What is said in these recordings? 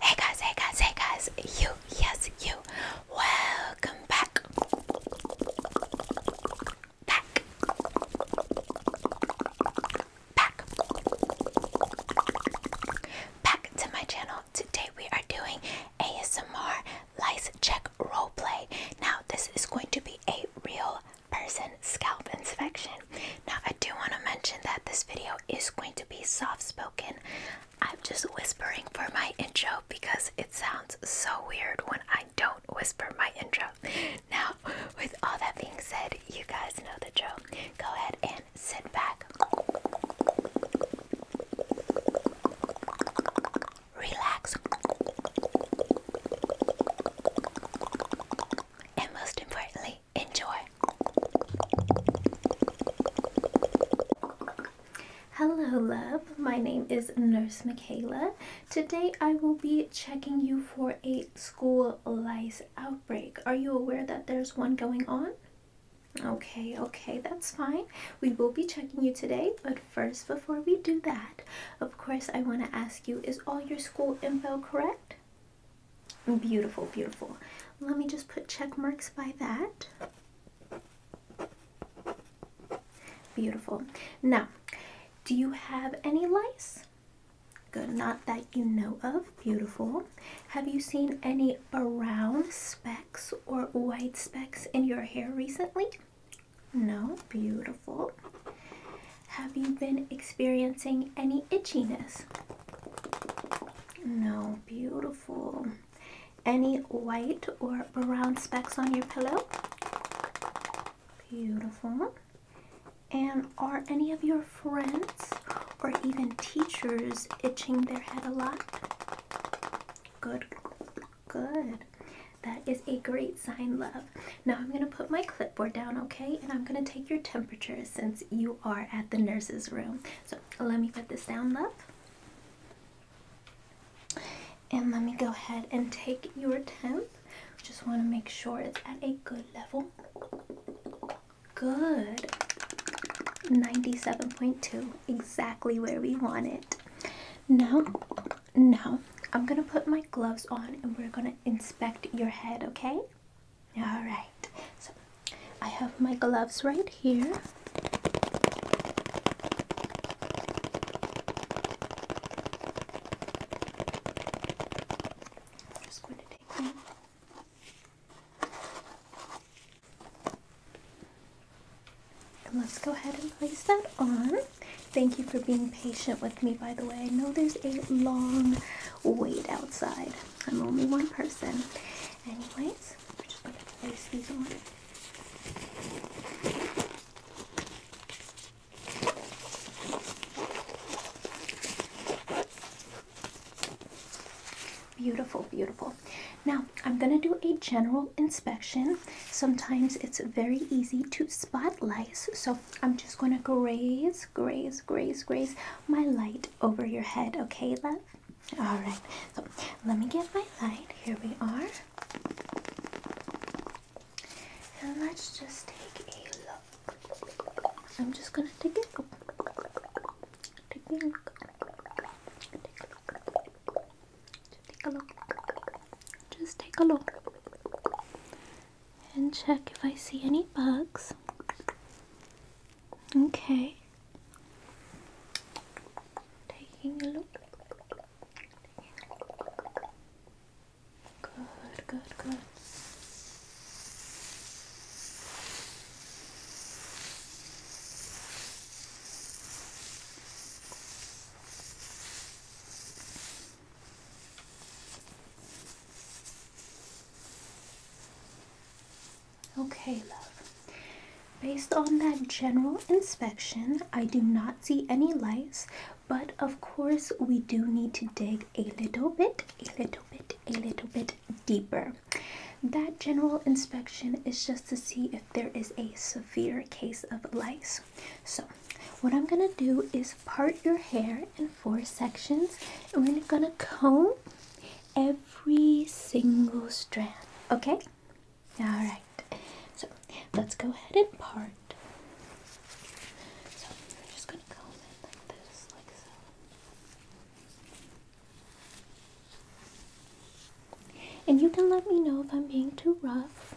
Hey guys, hey guys, hey guys, you, yes, you, welcome back. Back. Back. Back to my channel. Today we are doing ASMR lice check roleplay. Now, this is going to be a real person scalp inspection. Now, I do want to mention that this video is going to be soft spoken. I'm just whispering for my intro because it sounds so weird when I don't whisper my intro. Now, with all that being said, you guys know the drill. Go ahead and sit back, relax, and most importantly, enjoy. Hello, love. My name is Nurse Michaela. Today I will be checking you for a school lice outbreak. Are you aware that there's one going on? Okay, okay, that's fine. We will be checking you today, but first, before we do that, of course, I want to ask you is all your school info correct? Beautiful, beautiful. Let me just put check marks by that. Beautiful. Now, do you have any lice? Good, not that you know of. Beautiful. Have you seen any brown specks or white specks in your hair recently? No, beautiful. Have you been experiencing any itchiness? No, beautiful. Any white or brown specks on your pillow? Beautiful. And are any of your friends or even teachers itching their head a lot? Good, good. That is a great sign, love. Now I'm going to put my clipboard down, okay? And I'm going to take your temperature since you are at the nurse's room. So let me put this down, love. And let me go ahead and take your temp. Just want to make sure it's at a good level. Good. 97.2, exactly where we want it. Now, no, I'm gonna put my gloves on and we're gonna inspect your head, okay? Alright, so I have my gloves right here. I'm just going to take them. let's go ahead and place that on. Thank you for being patient with me, by the way. I know there's a long wait outside. I'm only one person. Anyways, we're just going to place these on. Beautiful, beautiful. Now, I'm going to do a general inspection. Sometimes it's very easy to spot lice, so I'm just going to graze, graze, graze, graze my light over your head. Okay, love? All right. So let me get my light. Here we are. And let's just take a look. I'm just going to take a look. Take a look. Take a look. Just take a look. Just take a look and check if I see any bugs. Okay. Taking a look. Good, good, good. Okay, love. Based on that general inspection, I do not see any lice, but of course, we do need to dig a little bit, a little bit, a little bit deeper. That general inspection is just to see if there is a severe case of lice. So, what I'm gonna do is part your hair in four sections, and we're gonna comb every single strand, okay? Alright, so let's go ahead and part. So, I'm just gonna comb it like this, like so. And you can let me know if I'm being too rough.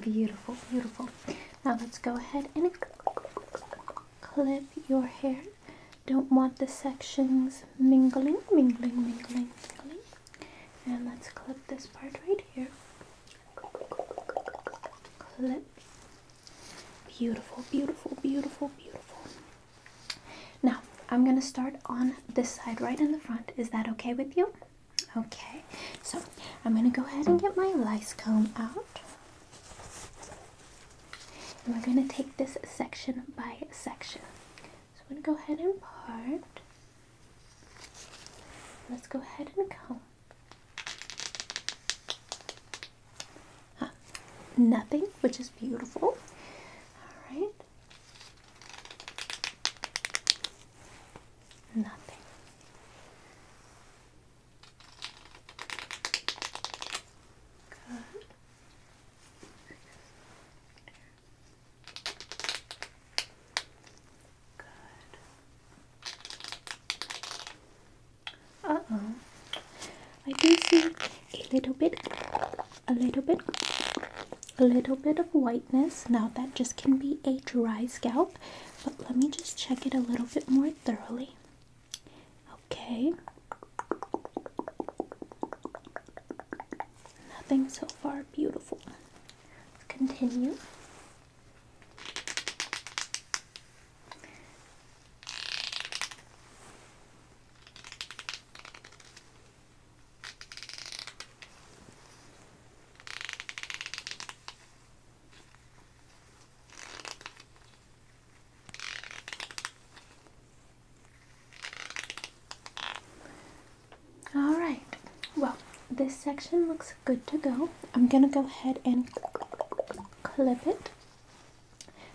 Beautiful, beautiful. Now let's go ahead and clip your hair. Don't want the sections mingling, mingling, mingling, mingling. And let's clip this part right here. Clip. Beautiful, beautiful, beautiful, beautiful. Now, I'm going to start on this side right in the front. Is that okay with you? Okay. So, I'm going to go ahead and get my lice comb out we're going to take this section by section. So we're going to go ahead and part. Let's go ahead and comb. Nothing, which is beautiful. All right. Nothing. Good. Uh oh. I do see a little bit, a little bit, a little bit of whiteness. Now that just can be a dry scalp, but let me just check it a little bit more thoroughly. Okay. Nothing so far. Beautiful. Let's continue. All right, well, this section looks good to go. I'm gonna go ahead and clip it.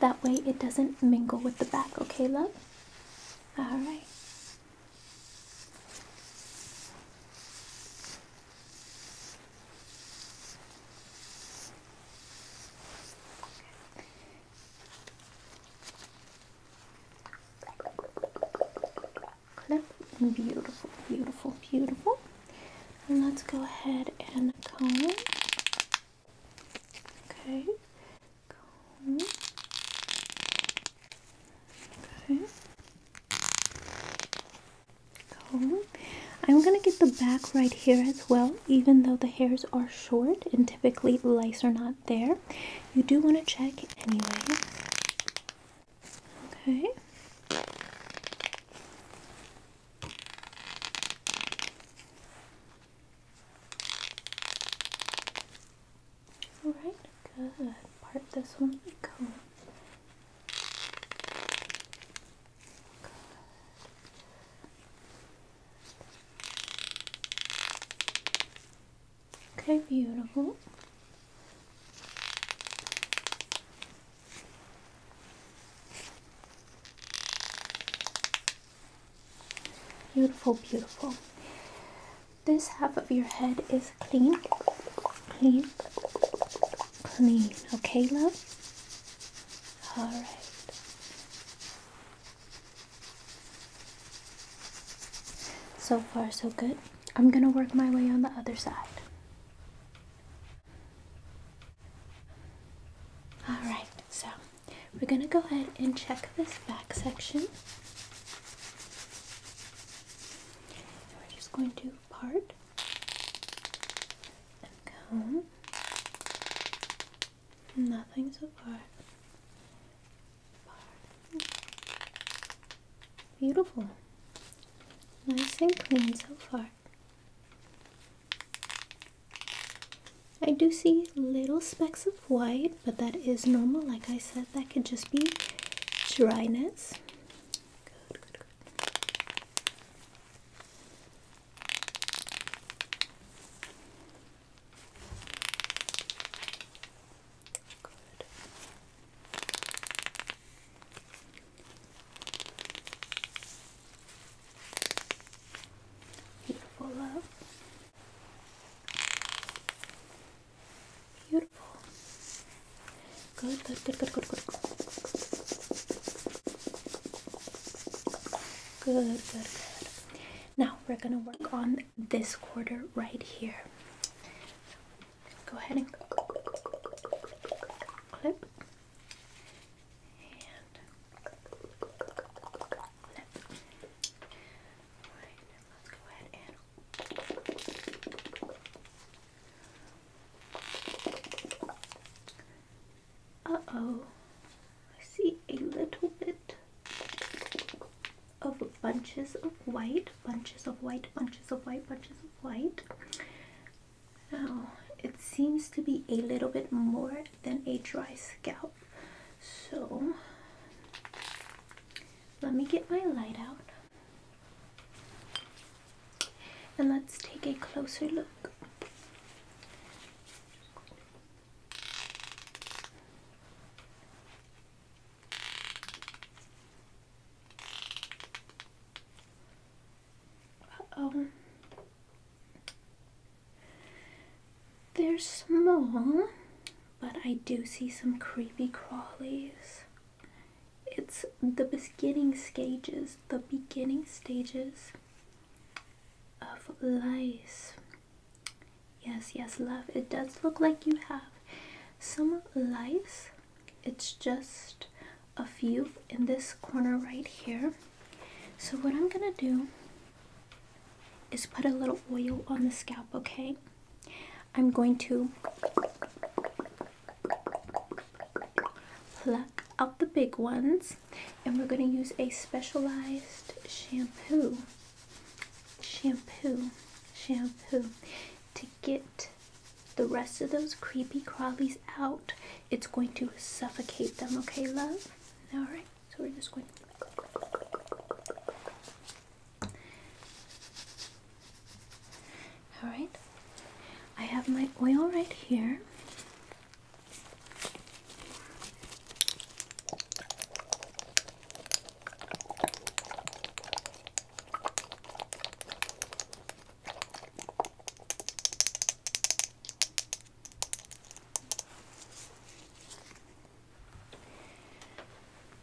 That way it doesn't mingle with the back, okay, love? All right beautiful, beautiful, beautiful. And let's go ahead and comb. Okay. Comb. Okay. I'm gonna get the back right here as well, even though the hairs are short and typically lice are not there. You do want to check anyway. Okay. Alright, good. Part this one with Okay, beautiful. Beautiful, beautiful. This half of your head is clean, clean, clean. Okay, love? Alright. So far, so good. I'm gonna work my way on the other side. Alright, so we're gonna go ahead and check this back section. We're just going to part and comb. Nothing so far. Part. Beautiful. Nice and clean so far. I do see little specks of white, but that is normal. Like I said, that could just be dryness. Good. Beautiful love. Beautiful. Good, good, good, good, good, good. Good, good, good. Now we're gonna work on this quarter right here. Go ahead and uh-oh. I see a little bit of bunches of white, bunches of white, bunches of white, bunches of white. Now, it seems to be a little bit more than a dry scalp. So, let me get my light out. And let's take a closer look. Uh-oh. They're small, but I do see some creepy crawlies it's the beginning stages, the beginning stages of life. Yes, yes, love. It does look like you have some lice. It's just a few in this corner right here. So what I'm gonna do is put a little oil on the scalp, okay? I'm going to pluck out the big ones and we're going to use a specialized shampoo. Shampoo, shampoo to get the rest of those creepy crawlies out. It's going to suffocate them, okay, love? Alright, so we're just going to Alright, I have my oil right here.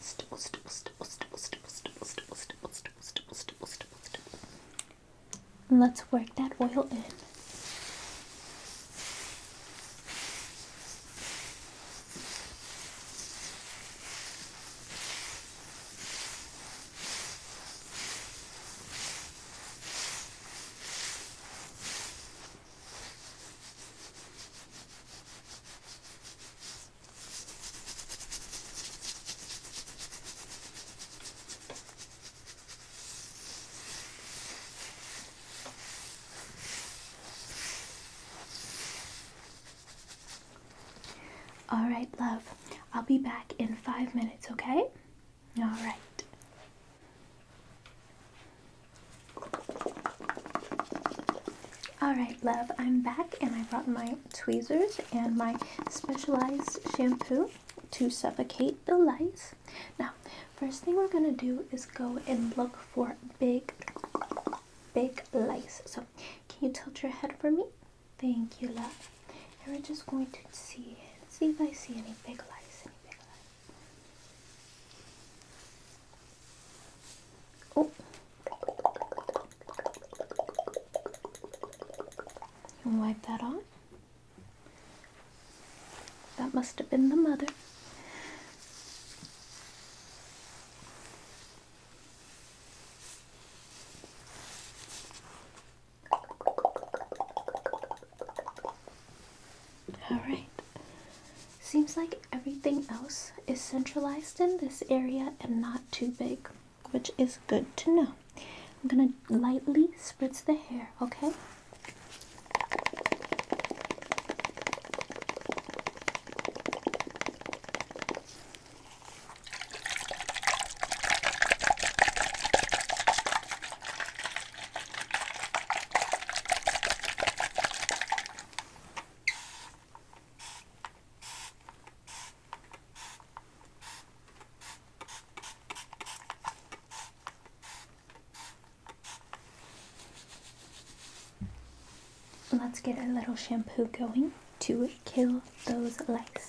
stipple, stipple, stipple, stipple, stipple, stipple, stipple, stipple, stipple, stipple, stipple, stipple, let's work that oil in. All right, love. I'll be back in five minutes, okay? All right. Alright, love, I'm back and I brought my tweezers and my specialized shampoo to suffocate the lice. Now, first thing we're going to do is go and look for big, big lice. So, can you tilt your head for me? Thank you, love. And we're just going to see, see if I see any big lice, any big lice. Oh. You wipe that on. That must have been the mother. All right. Seems like everything else is centralized in this area and not too big, which is good to know. I'm gonna lightly spritz the hair, okay? Let's get a little shampoo going to kill those lice.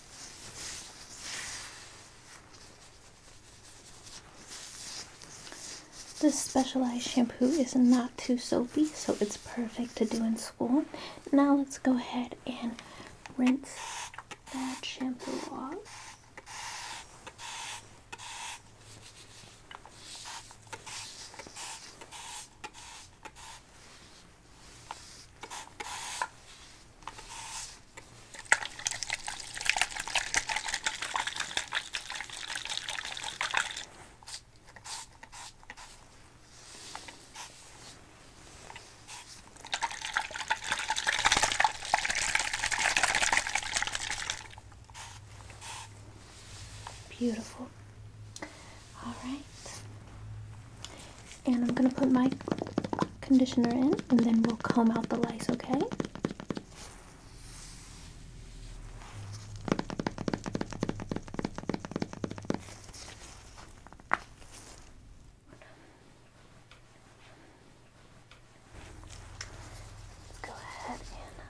This specialized shampoo is not too soapy, so it's perfect to do in school. Now let's go ahead and rinse that shampoo off. Beautiful. All right. And I'm going to put my conditioner in and then we'll comb out the lice, okay? Go ahead and lather that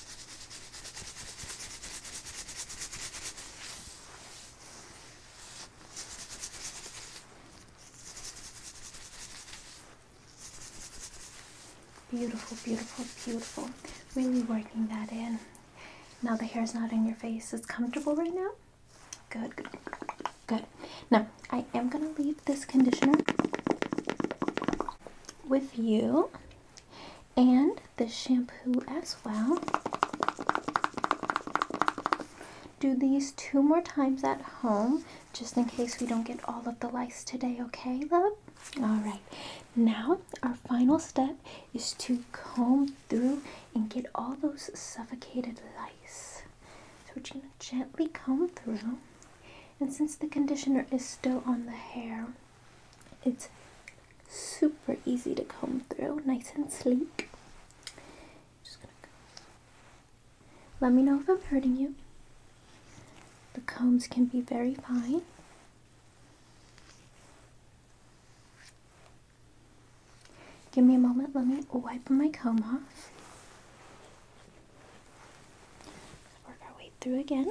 Beautiful, beautiful, beautiful. Really working that in. Now the hair's not in your face. It's comfortable right now? Good, good, good. Now, I am going to leave this conditioner with you and the shampoo as well. Do these two more times at home just in case we don't get all of the lice today, okay, love? All right, now our final step is to comb through and get all those suffocated lice. So we're just gonna gently comb through. And since the conditioner is still on the hair, it's super easy to comb through, nice and sleek. Just Let me know if I'm hurting you. The combs can be very fine. Give me a moment, let me wipe my comb off. Work our way through again.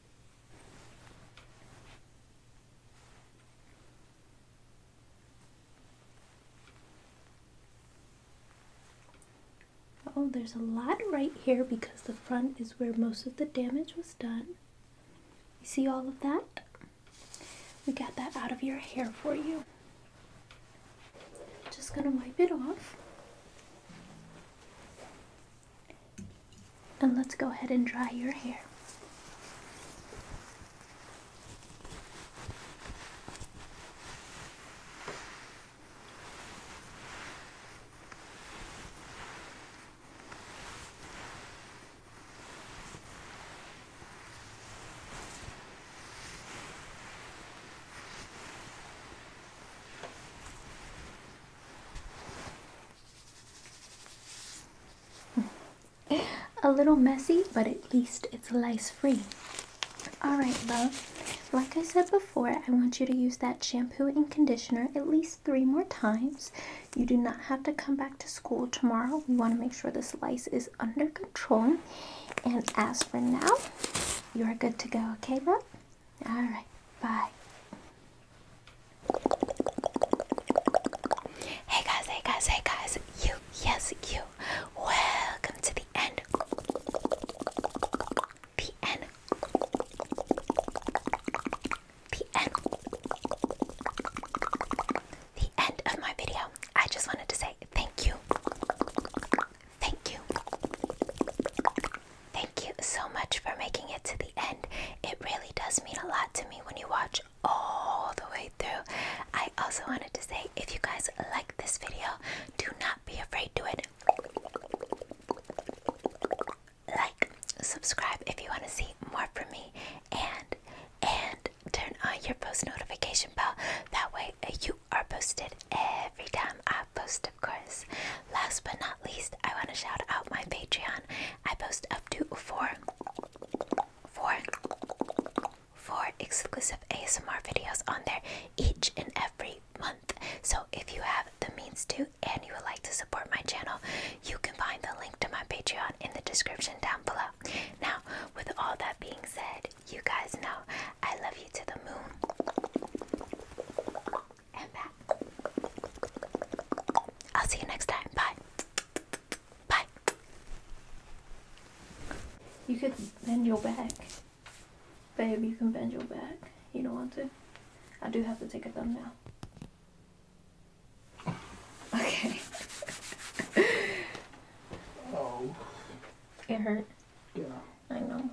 Oh, there's a lot right here because the front is where most of the damage was done. You see all of that? We got that out of your hair for you. Just gonna wipe it off. And let's go ahead and dry your hair. a little messy, but at least it's lice free. Alright, love. Like I said before, I want you to use that shampoo and conditioner at least three more times. You do not have to come back to school tomorrow. We want to make sure the lice is under control. And as for now, you are good to go, okay, love? Alright, bye. Hey guys, hey guys, hey guys. You, yes, you. Welcome to the end. The end. The end. The end of my video. I just wanted to say thank you. Thank you. Thank you so much for making it to the end. It really does mean a lot to me when you watch all the way through. I also wanted to say if you guys like this video, do not be afraid to it. Like, subscribe if you want to see more from me and and turn on your post notification bell. That way uh, you are posted every time I post, of course. Last but not least, I want to shout out my Patreon. I post up to four, four, four exclusive ASMR videos on there each and every month. So if you have the means to and you would like to support my channel, you can find the link to my Patreon in the description down below. Now, with all that being said, you guys know I love you to the moon and back. I'll see you next time. Bye. Bye. You could bend your back. Babe, you can bend your back. You don't want to? I do have to take a thumbnail. Okay. oh. It hurt. Yeah. I know.